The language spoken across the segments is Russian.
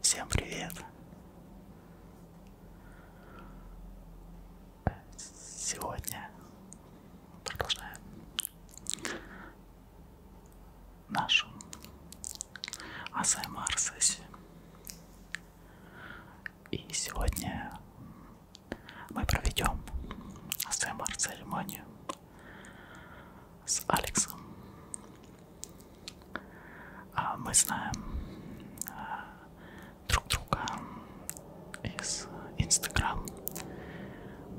Всем привет! Сегодня продолжаем нашу АСМР сессию. И сегодня мы проведем СМР-церемонию с Алексом. А, мы знаем а, друг друга из Инстаграм.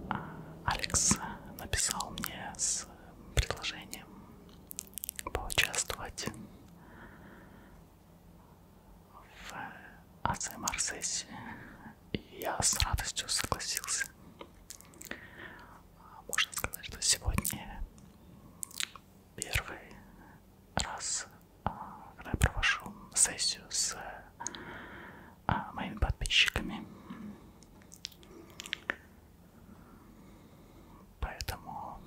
А, Алекс написал мне с предложением поучаствовать в АЦМР-сессии, и я с радостью согласился. Можно сказать, что сегодня первый раз, а, когда я провожу сессию с а, моими подписчиками, поэтому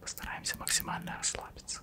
Постараемся максимально расслабиться.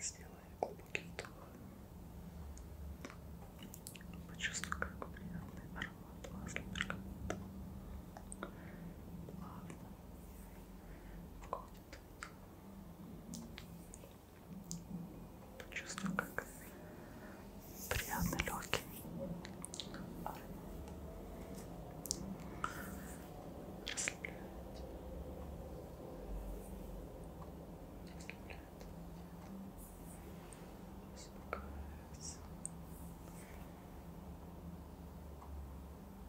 Сделай глубокий вдох. Почувствуй, как приятный аромат масла бергамота плавно входит Почувствую, как приятно легкий расслабляет. Расслабляет. Успокаивается.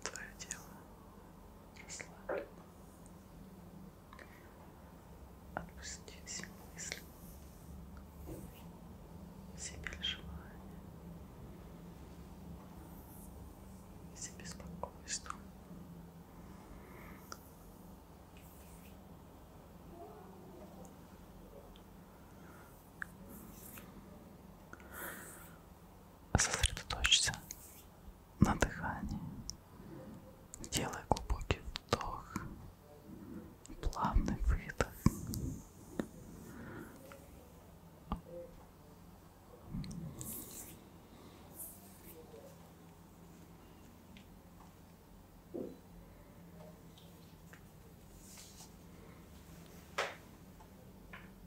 твое тело расслаблено. Отпусти все мысли, все переживания, все беспокойства сосредоточься на дыхании. Делай глубокий вдох, плавный выдох.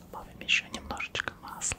Добавим еще немножечко масла.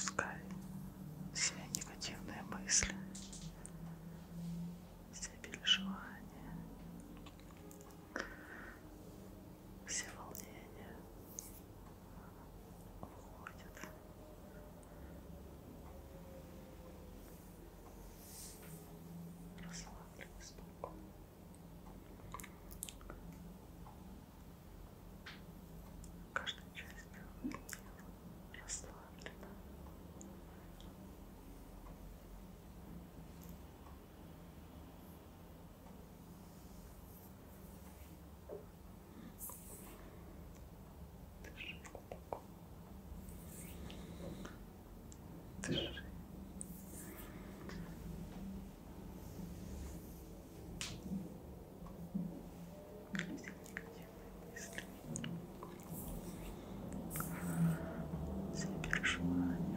Пускай все негативные мысли, все переживания все волнения уходят. Расслабленный спокойно. Каждая часть тела расслаблена. Дыши глубоко. Дыши. Люди негативные мысли. Заберешь желание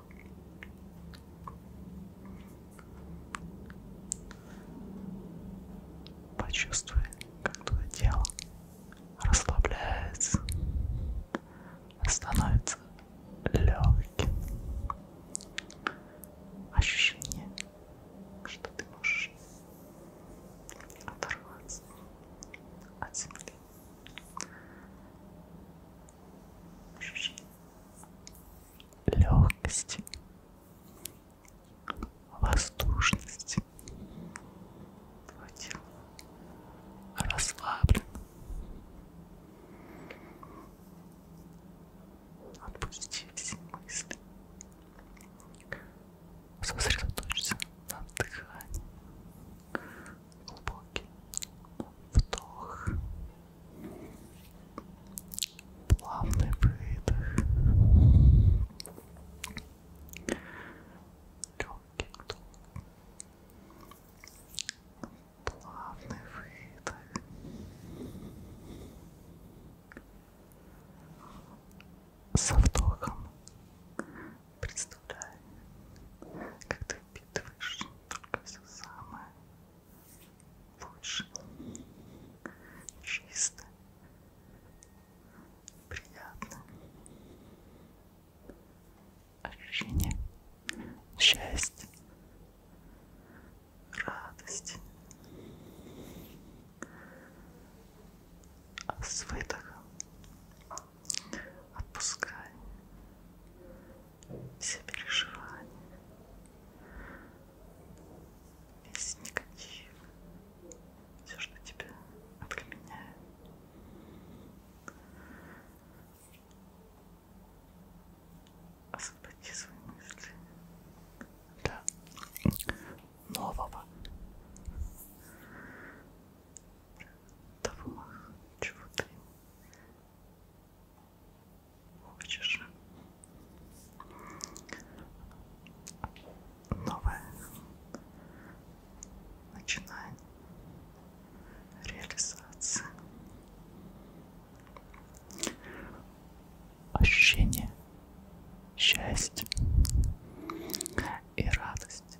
Почувствуй, как твое тело расслабляется, становится легким. Ощущение, что ты можешь оторваться от земли. Ощущение, легкости, воздушности. Твое тело расслаблено. Отпусти все мысли. Сосредоточься на дыхании. Глубокий, вдох, плавный выдох, легкий вдох, плавный выдох. Со вдохом представляй, как ты впитываешь только все самое лучше, чисто, приятно. Ощущение счастья, радости. А с выдохом отпускай все переживания, весь негатив, все, что тебя отменяет. Освободи свои мысли для нового того, чего ты хочешь. Новое начинание, реализация, ощущение счастья и радости.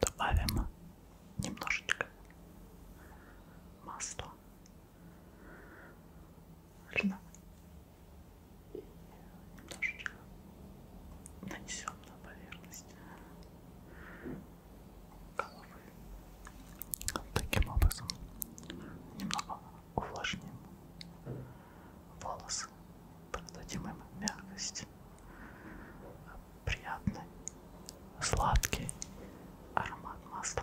Добавим немножечко масла. Льна. Немножечко нанесем на поверхность головы. Таким образом немного увлажним волосы. Придадим им мягкость. Приятный, сладкий аромат масла.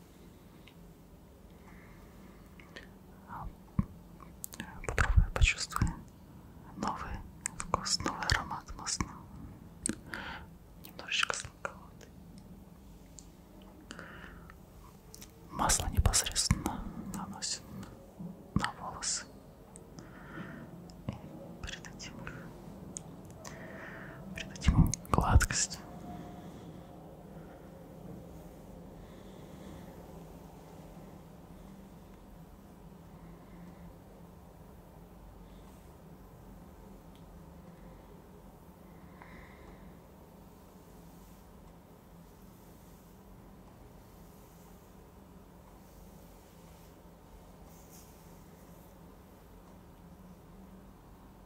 Попробуй почувствуй новый вкус, новый аромат масла. Немножечко сладковатый. Масло непосредственно наносит на волосы. И перед этим придать ему гладкость.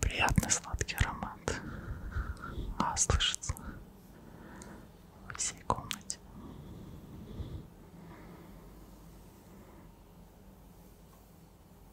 Приятный сладкий аромат. А, слышится во всей комнате.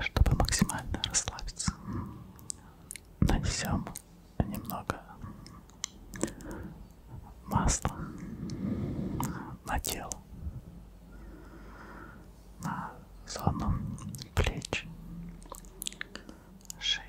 Чтобы максимально расслабиться, нанесем немного масла на тело на зону плеч, шеи.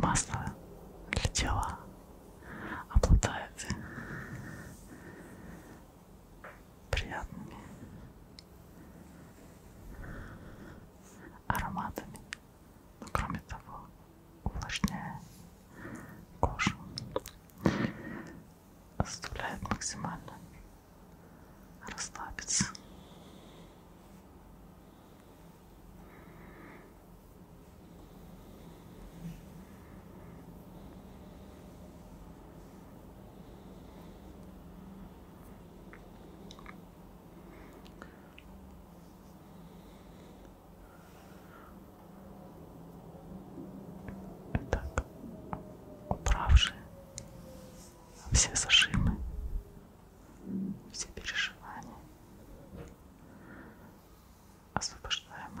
Масло для тела обладает приятными ароматами, но ну, кроме того увлажняя кожу, заставляет максимально расслабиться. Итак, убравши все зажимы, все переживания, освобождаем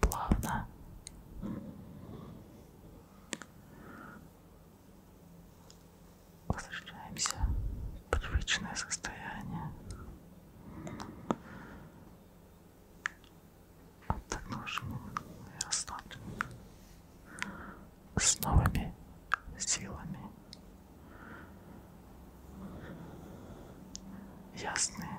плавно. Возвращаемся в привычное состояние. Отдохнувшим и расслабленным. С новыми силами. Ясные